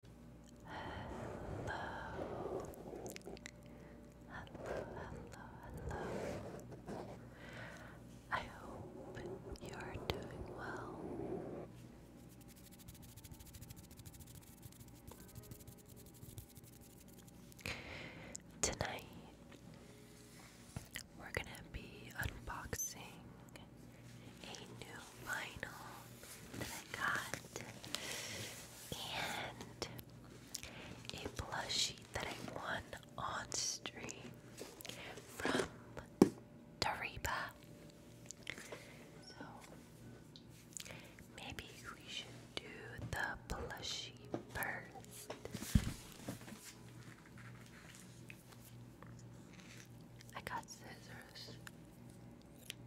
Hello. Hello, hello, I hope you are doing well. Tonight, we're going to be unboxing a new vinyl that I got and a plushie that I won on stream from Tariba. So maybe we should do the plushie first. I got scissors.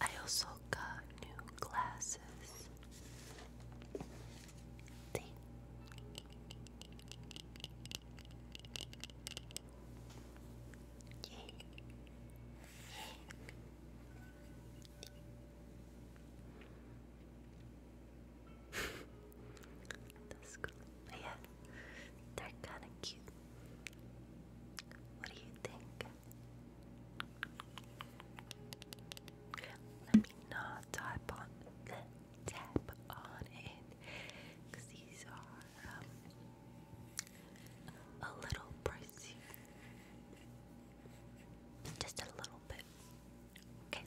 I also got new glasses. That's cool. yeah, they're kind of cute. What do you think? Let me not type on tap on it because these are um, a little pricey. Just a little bit. Okay.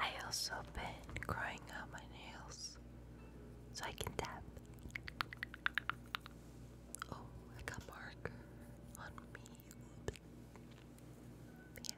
I also been growing out my nails so I can tap. Oh, I got mark on me. Yeah.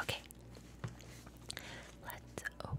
Okay, let's open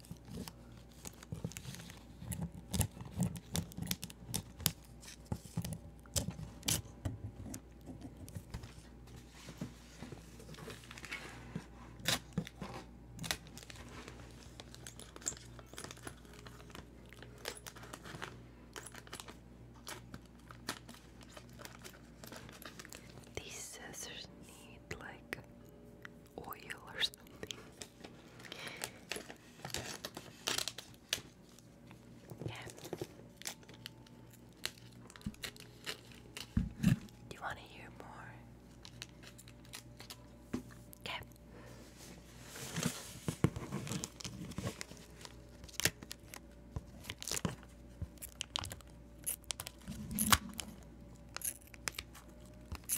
These scissors need like oil or something. Yeah. Do you want to hear more? Okay.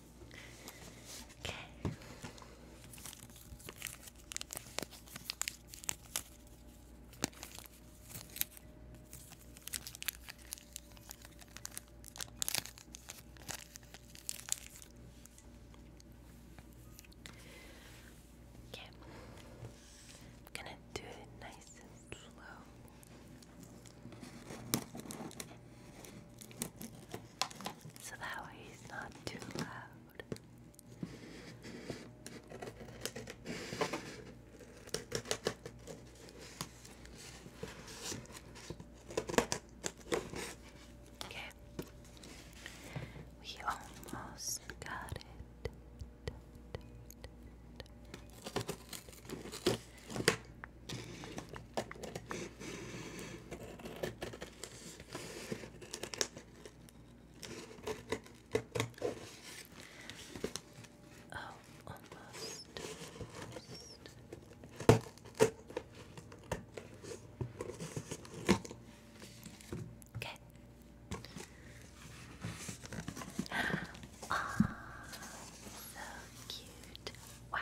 Okay. Okay. I'm gonna do it nice and slow so that way he's not too loud. Okay, we almost got it. Oh, almost. Okay. Ah, so cute. Wow,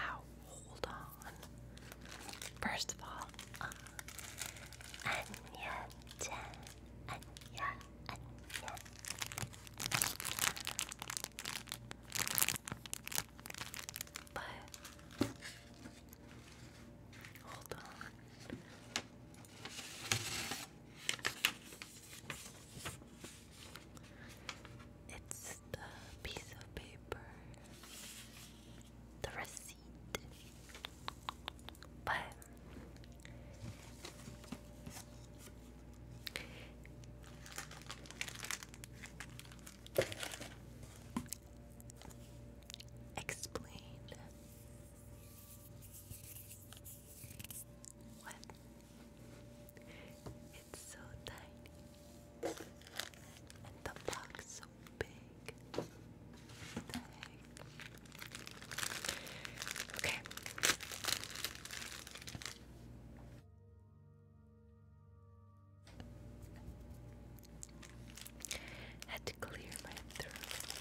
hold on. First of all, uh, But hold on. It's next piece of paper the receipt. But Explain what it's so tiny. And the box so big. What the heck? Okay. Had to clear my throat.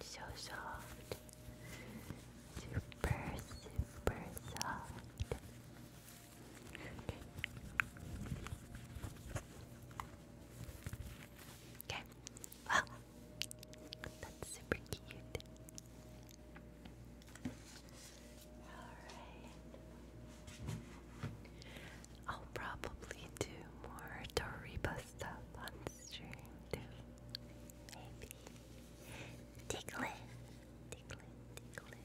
So soft, super, super soft. Okay. Wow. That's super cute. Alright. I'll probably do more Toriba stuff on stream Maybe. Tickle it. Tickle it,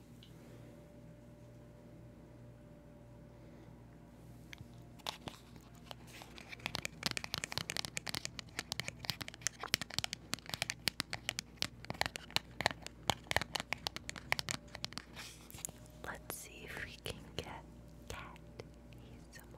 Let's see if we can get cat ASMR.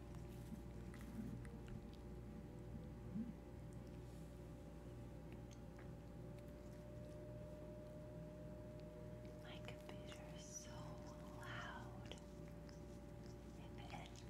My computer is so loud My computer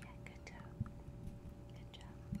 Yeah, good job. Good job.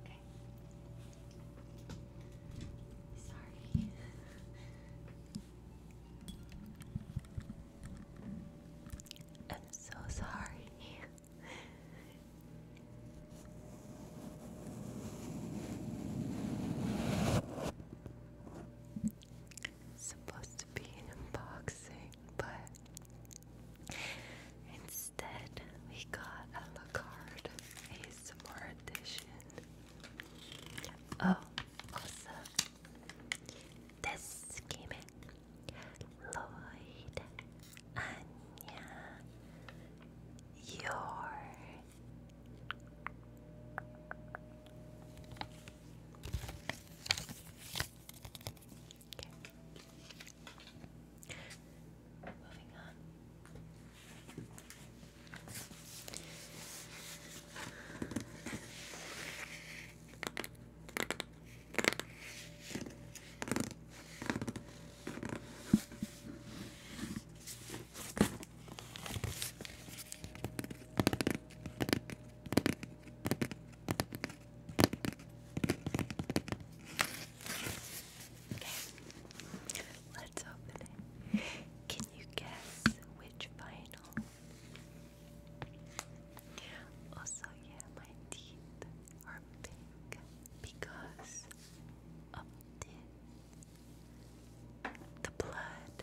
Okay. Sorry. I'm so sorry. supposed to be an unboxing, but it's we got a Lacard ASMR edition. Oh, also, this came Lloyd, Anya, your. Moving on. Okay, let's open it. Can you guess which vinyl? Also, yeah, my teeth are pink because of The blood.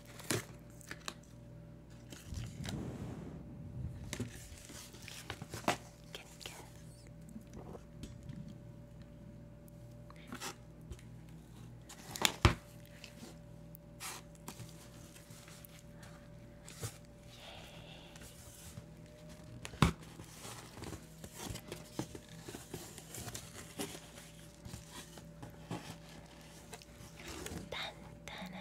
Can you guess? Yay. Dun, dun,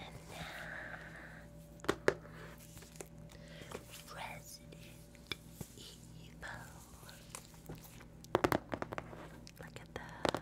Resident Evil. Look at that.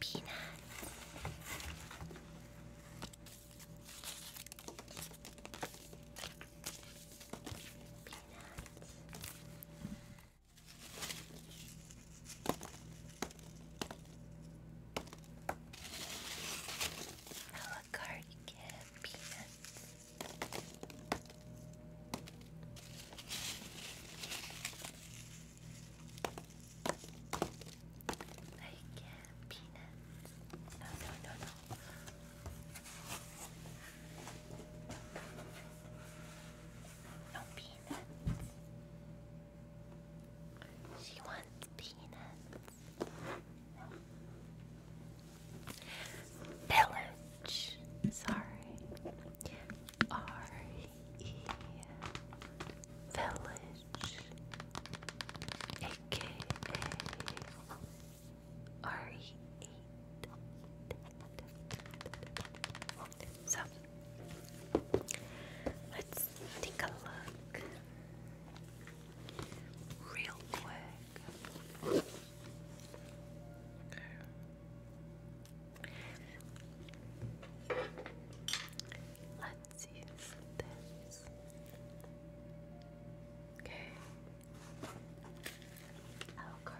Peanuts. Peanuts. How card can have like uh, peanuts. No, no, no, no. No peanuts. She wants peanuts. Pillage. Sorry. R E Village, aka R E eight. So let's take a look real quick. Let's use this. Okay. Oh, card.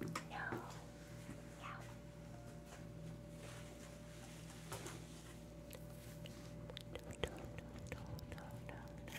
No. No, no, no, no, no, no.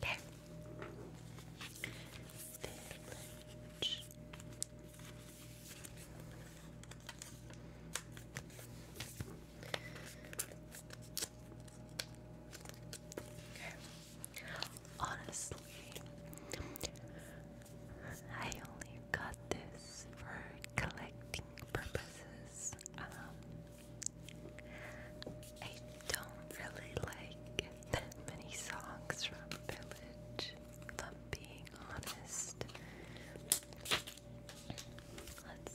There. Village. Honestly, I only got this for collecting purposes. Um, I don't really like that many songs from Village, if being honest. Let's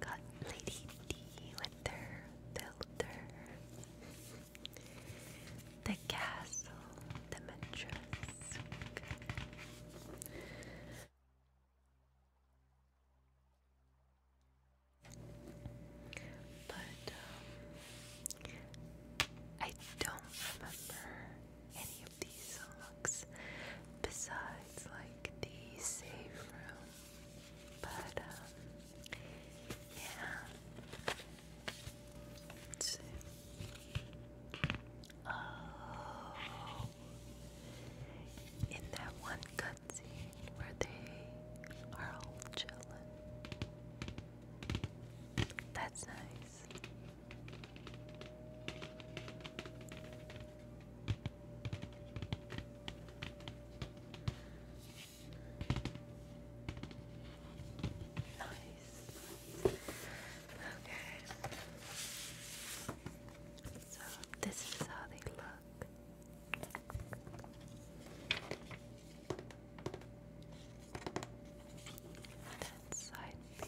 got Lady D with her filter the castle, the mattress. But um, I don't remember any of these songs besides like the safe room. But um, yeah. Oh. In that one cutscene where they are all chilling. That's nice. Nice. Okay. So this is how they look. That's side B,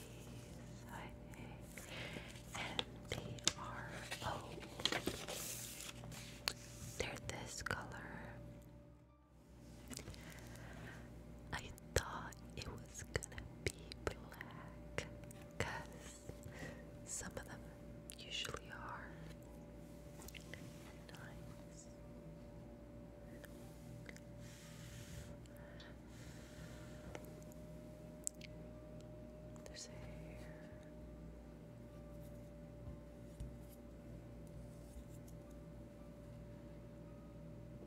side A, and they are oh, they're this color thought it was gonna be black because some of them usually are. There's hair.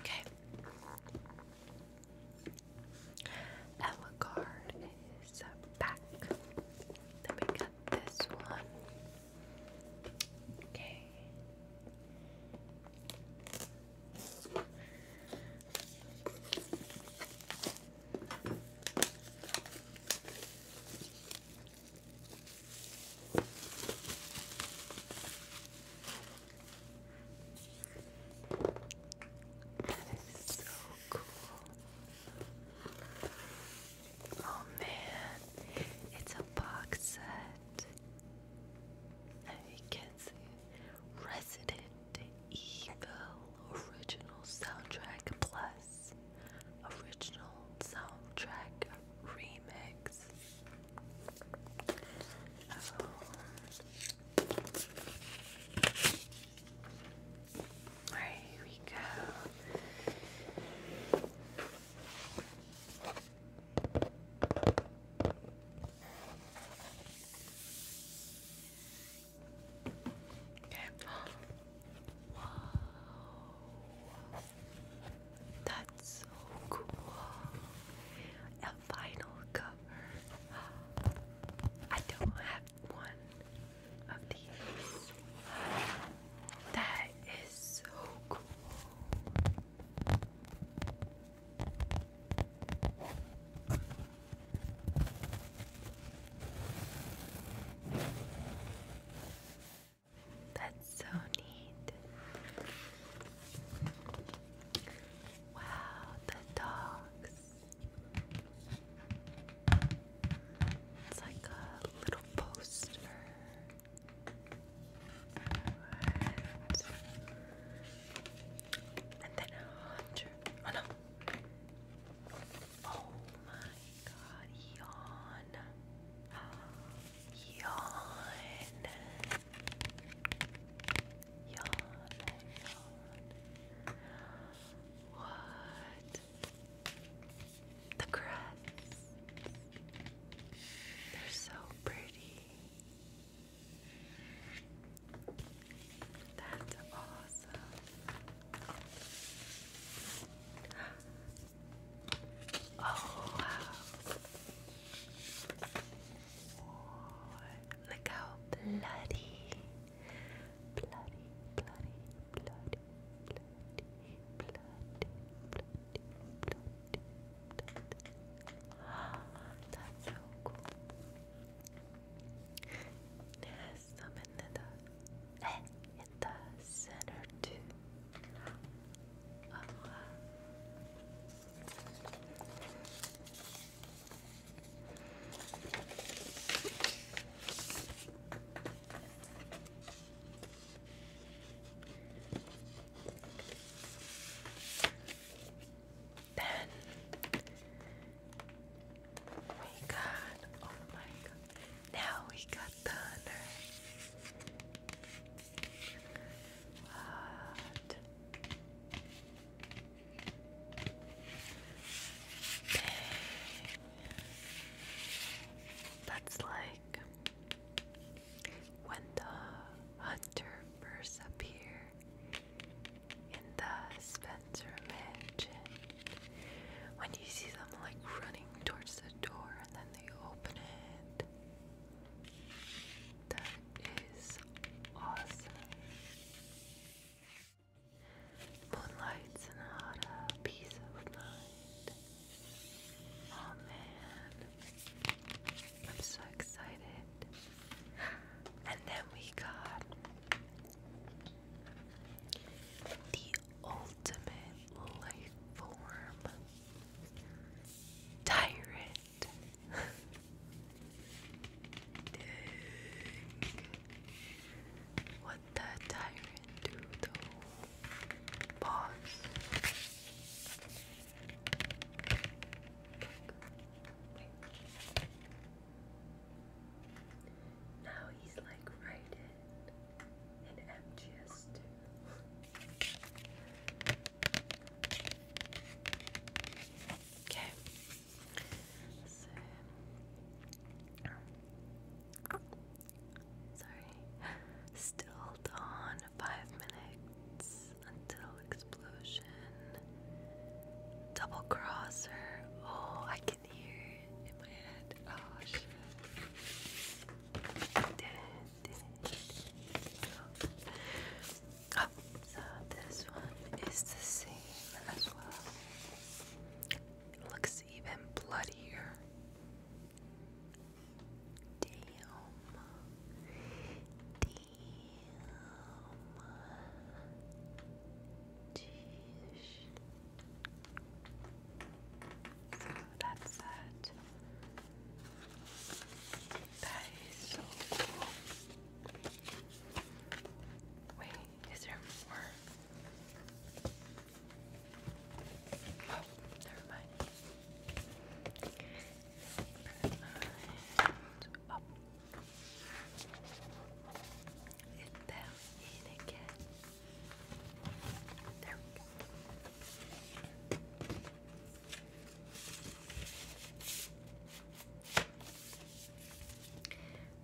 Okay. Our is back. Then we got this one. Okay. That is so cool. Oh man, it's a box set. And can see Resident Evil original soundtrack plus Original soundtrack remix. Oh. here we go. That's so cool. A vinyl cover. I don't have one of these. That is so cool. That's so neat. Wow, the dogs. It's like a little poster. And then a hundred. Oh no. Oh my God, yawn. Yawn. Yawn. Yawn. What? The crests. They're so pretty. That's awesome. Oh wow. Look how bloody. Bloody, bloody, bloody, bloody, bloody, bloody, bloody, bloody. That's so cool press them the in the center too. Oh, then we got oh my god now we got thunder. What? That's like when the hunter first appeared in the Spencer Mansion. When you see them like running towards the door and then they open it? That is awesome. Moonlight Sonata, peace of mind. Oh man, I'm so excited. And then we got the ultimate life form. Tyrant. What the tyrant do though? Pause. Now he's like writing and MGS2. Okay. sorry. Still on five minutes until explosion. Double crosser. Oh, I here in my head. Oh shit. Oh, so this one is the same as well. It looks even bloodier. Damn. Damn. Jeez. So that's that. That is so cool. Wait, is there more? Oh, never mind. up. It's them in there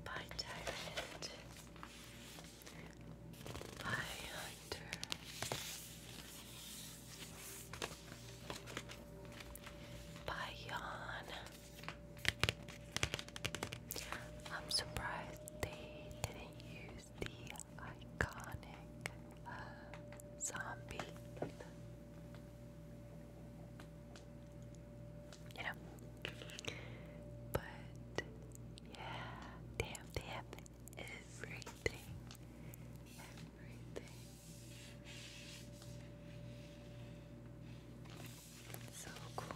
By Tyrant. By Hunter. By Yawn. I'm surprised they didn't use the iconic uh, zombie. You know? But, yeah, damn, they have everything. Everything. So cool.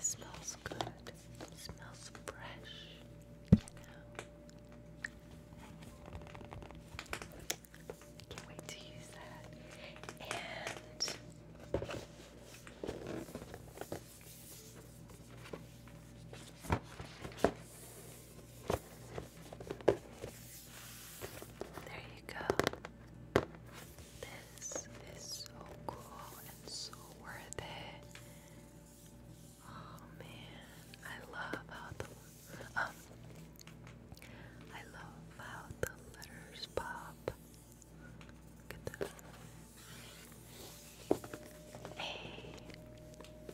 smells good. smells fresh, can't wait to use that. And there you go. This is so cool and so worth it. Oh man, I love how the um, I love how the letters pop. Look at that. Hey.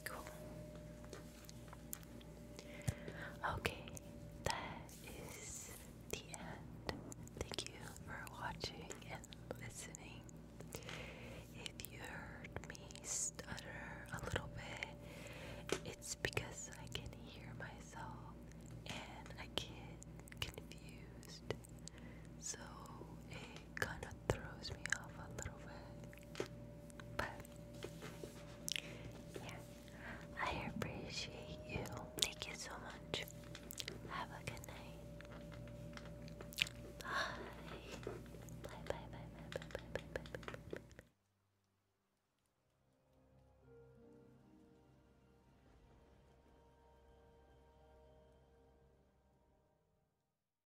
Cool. Okay, that is the end. Thank you for watching and listening. If you heard me stutter a little bit, it's because I can hear myself and I get confused. So it kind of throws me off a little bit. But yeah, I appreciate you. Thank you so much. Have a good night. Bye. Bye bye bye bye bye bye bye bye bye. bye.